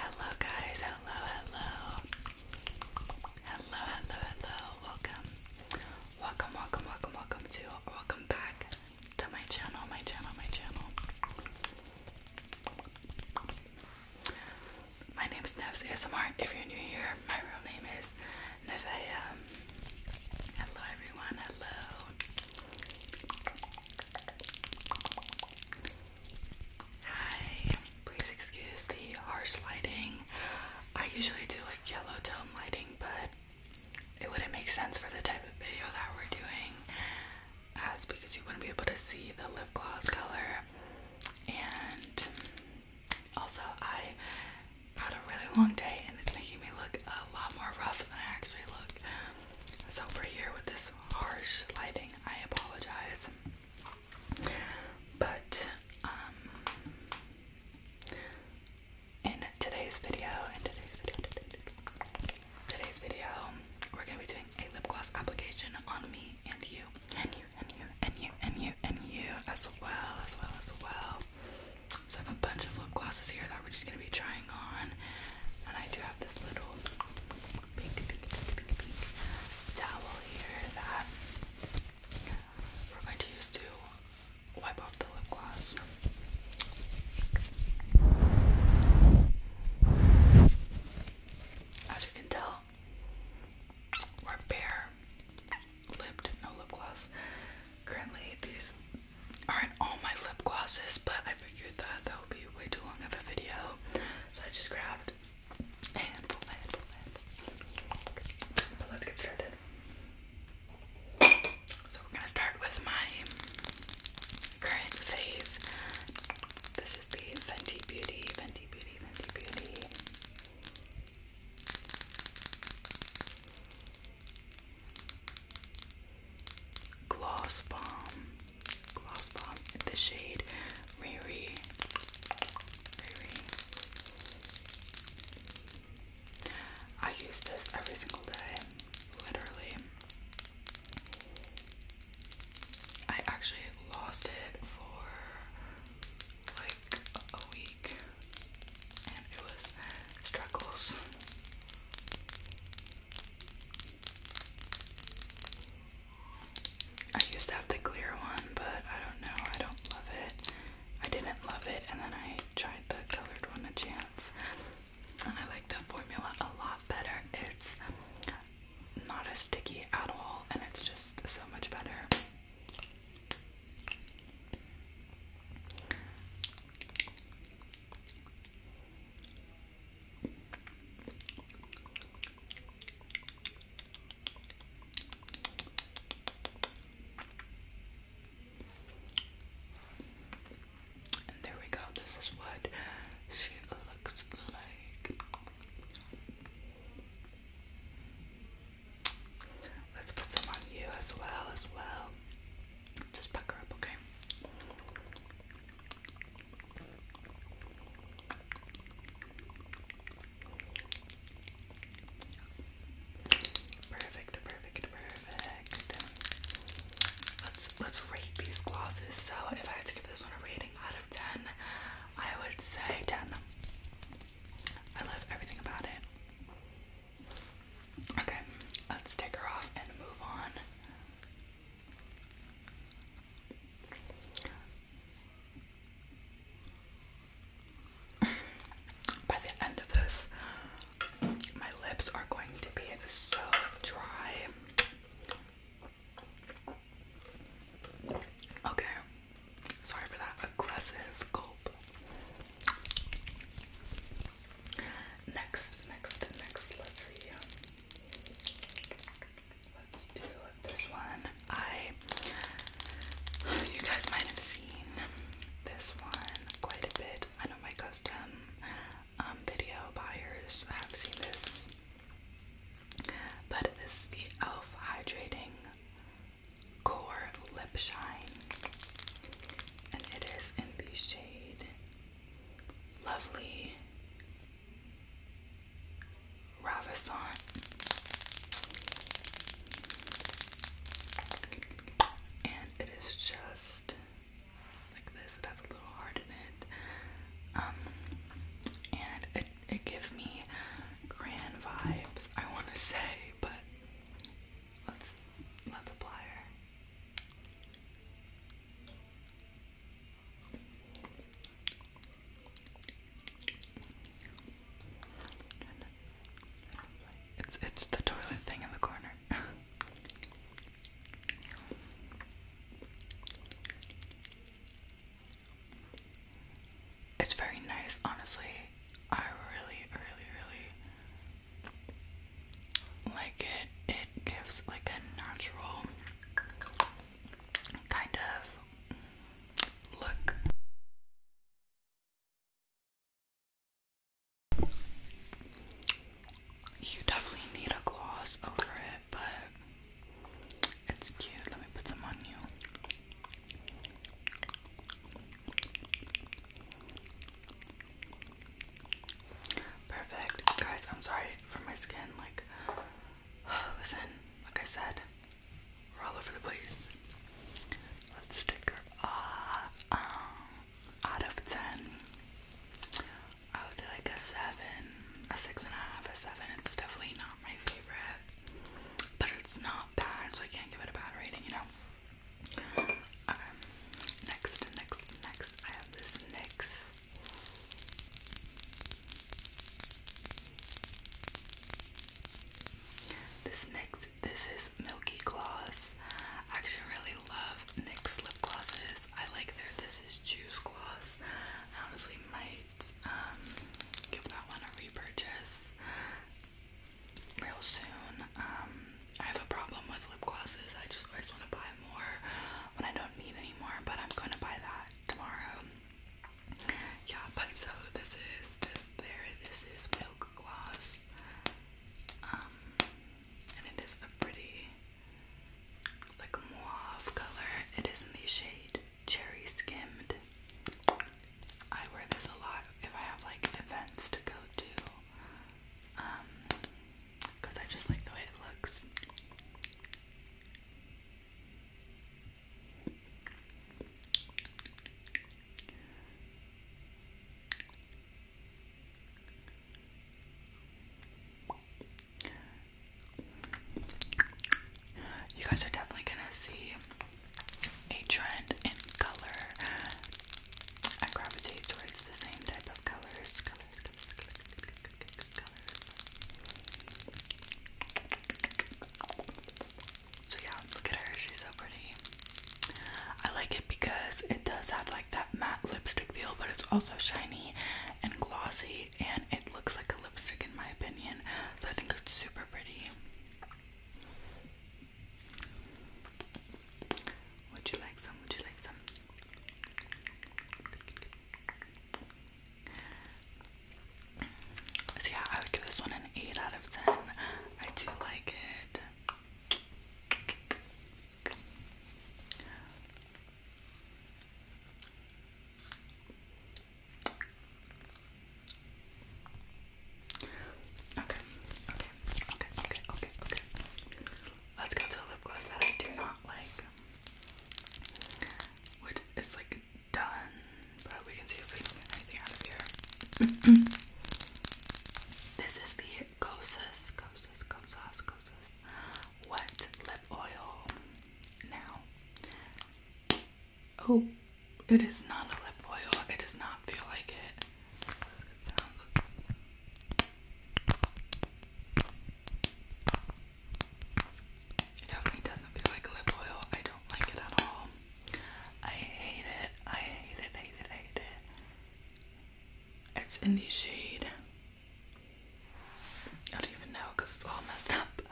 Hello, guys. Hello, hello. Hello, hello, hello. Welcome. Welcome, welcome, welcome, welcome to, welcome back to my channel, my channel, my channel. My name is Nevs ASMR. If you're new here, my real name is Nevea. Hello, everyone. Hello. Hi, please excuse the harsh lighting. I usually do like yellow tone lighting, but it wouldn't make sense for the type of video that we're doing. That's because you wouldn't be able to see the lip gloss color. And also, I had a really long day and it's making me look a lot more rough than I actually look. So for here with this harsh lighting, I apologize. But um, in today's video, in today's video, today's video, we're gonna be doing a lip gloss application on me and you, and you, and you, and you, and you, and you, as well, as well, as well. So I have a bunch of lip glosses here that we're just gonna be trying on, and I do have this little pink, pink, pink, pink that we're going to use to wipe off the lip gloss. As you can tell, we're bare lipped, no lip gloss. Currently, these aren't all my lip glosses, but figured that that would be way too long of a video, so I just grabbed a handful, a handful, a get started. So we're gonna start with my current fave. This is the Fenty Beauty, Fenty Beauty, Fenty Beauty. Gloss Bomb. Gloss Bomb in the shade Riri. Riri. I use this every single day. Literally. I actually lost it for like a week and it was struggles I used to have the clear one, but I don't know. I don't love it. I didn't love it, and then I tried the colored one a chance. And I like the formula a lot better. It's not as sticky at all, and it's just so much better. And there we go, this is what she looks like. Let's put some on you as well, as well. Just pucker up, okay? Perfect, perfect, perfect. Let's let's rate these glosses. So if I had to give this one a rating out of ten, I would say ten. I love everything about it. Okay, let's take her off and move on by the end of this, my lips are going to be so dry. Okay, sorry for that aggressive gulp. Next, next, next, let's see. Let's do this one. I, you guys might have seen this one quite a bit. I know my custom um, video buyers have seen this, um, um, but this is the e.l.f. Hydrating Core Lip Shine, and it is in the shade lovely Ravissant. And it is just like this. It has a little heart in it. Um, and it, it gives me grand vibes, I want to say, but let's, let's apply her. It's it's the toilet thing in the corner. it's very nice, honestly. I really, really, really like it it gives like a natural kind of look you definitely need a gloss over it but it's cute let me put some on you Perfect. Guys, I'm sorry for my skin. Like, listen, like I said, we're all over the place. Let's take her off. Uh, um, out of 10, I would say like a 7, a 6.5, a, 7. It's definitely not my favorite, but it's not bad, so I can't give it a bad rating, you know? Okay, next, next, next. I have this NYX this NYX, this is Milky Gloss. I actually really love NYX lip glosses. I like their This Is Juice Gloss. I honestly might um, give that one a repurchase real soon. Um, I have a problem with lip glosses. I just always want to buy more one I don't need anymore, but I'm going to buy that tomorrow. Yeah, but so this is this there. This is milk gloss, um, and it is a pretty like mauve color. It is in the shade cherry skimmed. I wear this a lot if I have like events to go to. Um, because I just like the way it looks. You guys are definitely gonna see a trend in color. I gravitate towards the same type of colors, so yeah, look at her, she's so pretty. I like it because it does have like that matte lipstick feel, but it's also shiny and glossy and it looks like a lipstick in my opinion. So I think it's super pretty. Would you like some? Would you like some? yeah, I would give this one an 8 out of 10. I do like it. Okay, okay, okay, okay, okay, okay. Let's go to a lip gloss that I do not like. Which is like done, but we can see if we can get anything out of here. this is the Kosas, Kosas, Kosas, Kosas Wet Lip Oil now. Oh, it is not a lip oil. It does not feel like it. It definitely doesn't feel like lip oil. I don't like it at all. I hate it. I hate it, hate it, hate it. It's in the shade. I don't even know it's all messed up.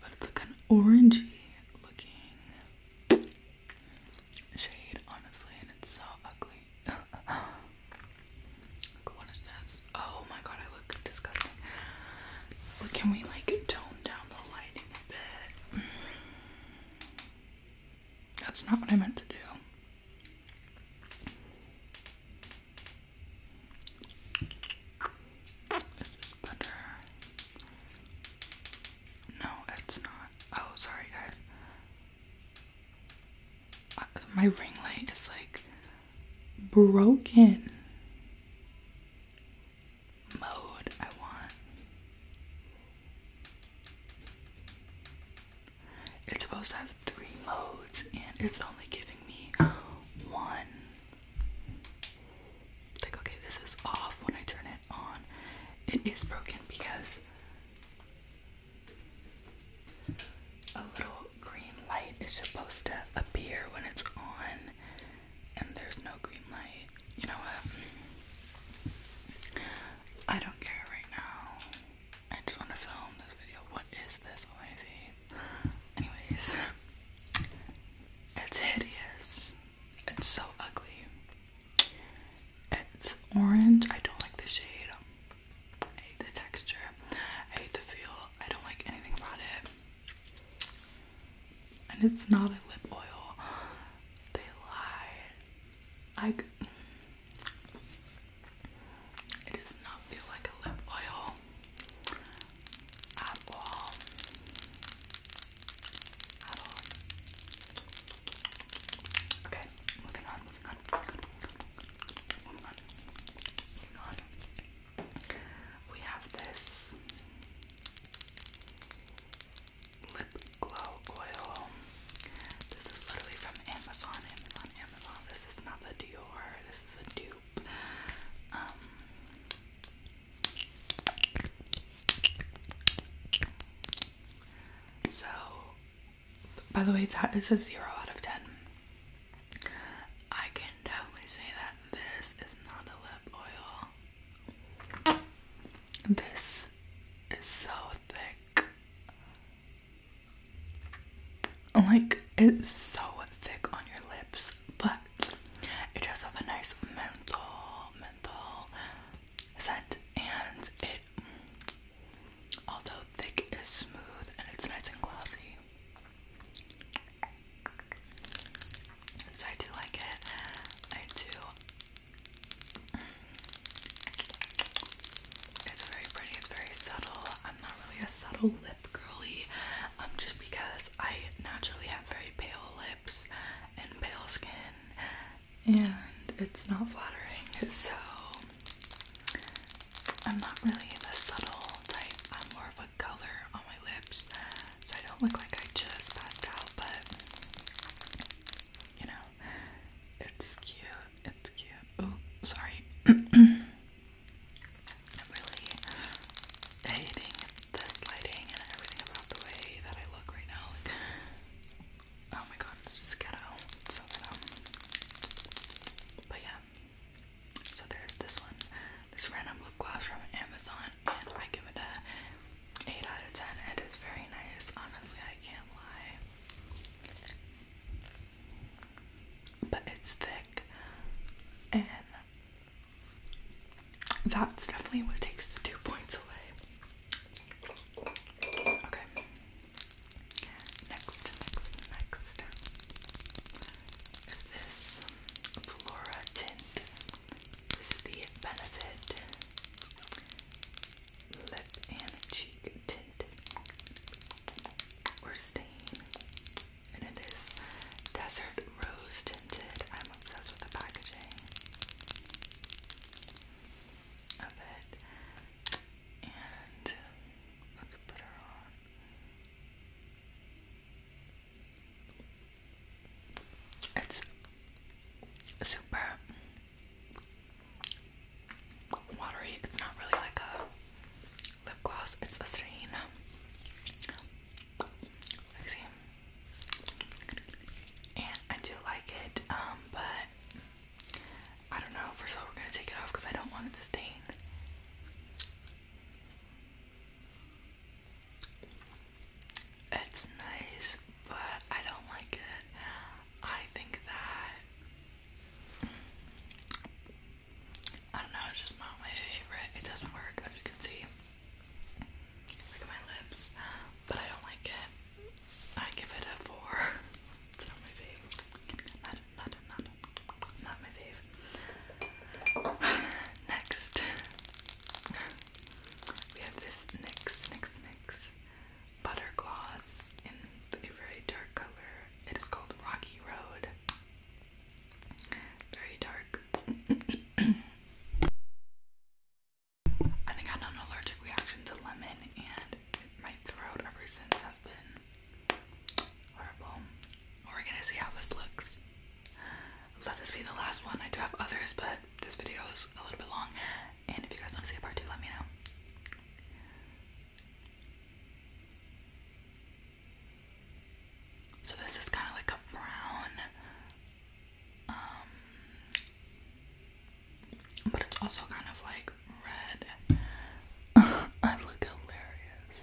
But it's like an orangey looking shade, honestly, and it's so ugly. Oh my god, I look disgusting. can we like tone down the lighting a bit? That's not what I meant to do. Is better? No, it's not. Oh, sorry, guys my ring light is like broken. Mode I want. It's supposed to have three modes, and it's only giving me one. Like, okay, this is off when I turn it on. It is broken because a little green light is supposed to appear when it's on, and there's no green light. You know what? I don't care right now. I just want to film this video. What is this on my face? Anyways, it's hideous. It's so ugly. It's orange. I don't like the shade. I hate the texture. I hate the feel. I don't like anything about it. And it's not a lip oil. They lied. I. It does not feel like a lip oil at all. Okay, moving on. Moving on. We have this lip glow oil. This is literally from Amazon, Amazon, Amazon. This is not the Dior, this is a dupe. Um, so by the way, that is a zero out of ten. I can definitely say that this is not a lip oil. This is so thick. Like, it's so thick on your lips, but it does have a nice menthol, menthol scent, and it Although thick is smooth and it's nice and glossy. So I do like it. I do. It's very pretty, it's very subtle. I'm not really a subtle lip girly, um, just because I naturally have very pale lips and pale skin, and it's not flattering. So I'm not really the subtle type. I'm more of a color on my lips, so I don't look like I just passed out. But you know, it's cute. It's cute. Oh, sorry. i really hating this lighting and everything about the way that I look right now. Oh my god, this is But yeah. So there's this one. This random lip gloss from Amazon and I give it a 8 out of 10. It is very nice. Honestly, I can't lie. But it's thick and that's definitely what takes the two points away. Okay. Next, next, next is this Flora Tint. This is the Benefit Lip and Cheek Tint or Stain. And it is Desert Rose Tinted. I'm obsessed with the packaging of it let's put her on. It's super watery. It's not really like a lip gloss, it's a stain. And I do like it, um, but I don't know. First of all, we're gonna take it off because I don't want it to stain. It's nice, but I don't like it. I think that I don't know. It's just not my favorite. It doesn't work, as you can see. Look at my lips, but I don't like it. I give it a four. not my fave. Not, not, not, not my fave. Next, we have this NYX, butter gloss in a very dark color. It is called Rocky Road. Very dark. I think I had an allergic reaction to lemon and my throat ever since has been horrible. We're gonna see how this looks. Let this be the last one. I do have others, but this video is a little bit long. And if you guys want to see a part two, let me know. So this is kind of like a brown, um, but it's also kind of like red. I look hilarious.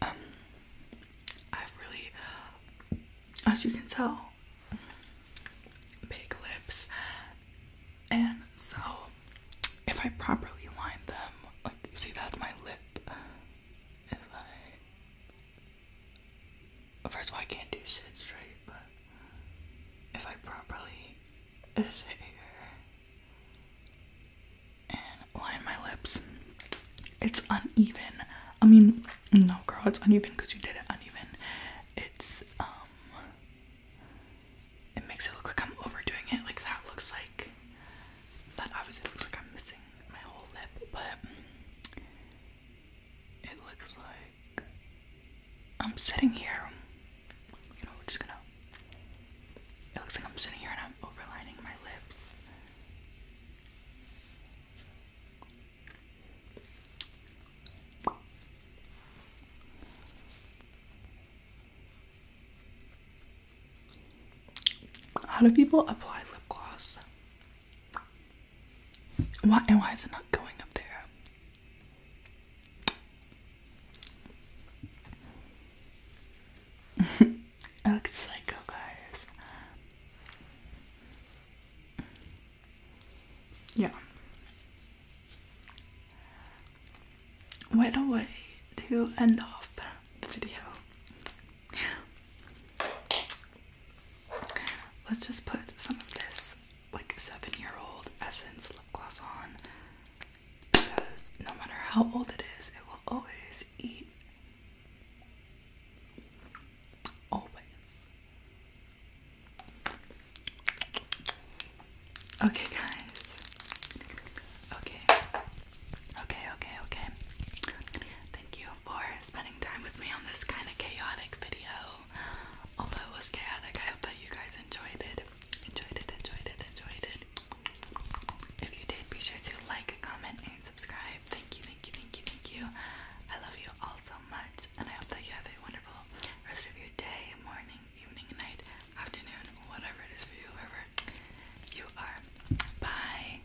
Um, I've really, as you can tell, big lips, and so if I properly line them, like see that's my lip. First of all, I can't do shit straight, but if I properly sit here and line my lips, it's uneven. I mean, no, girl, it's uneven because you did it uneven. It's, um, it makes it look like I'm overdoing it. Like, that looks like, that obviously looks like I'm missing my whole lip, but it looks like I'm sitting here. You know, just gonna. It looks like I'm sitting here and I'm overlining my lips. How do people apply lip gloss? Why and why is it not going up there? I look psycho, guys. Yeah. What a way to end off the video. Let's just put some of this like seven year old essence lip gloss on because no matter how old it is, it will always eat. Always. Okay, guys. Okay. Okay, okay, okay. Thank you for spending time with me on this kind of chaotic video. Although it was chaotic, I hope that you guys enjoyed it. Enjoyed it, enjoyed it, enjoyed it. If you did, be sure to like, comment, and subscribe. Thank you, thank you, thank you, thank you. I love you all so much, and I hope that you have a wonderful rest of your day, morning, evening, night, afternoon, whatever it is for you, whoever you are. Bye.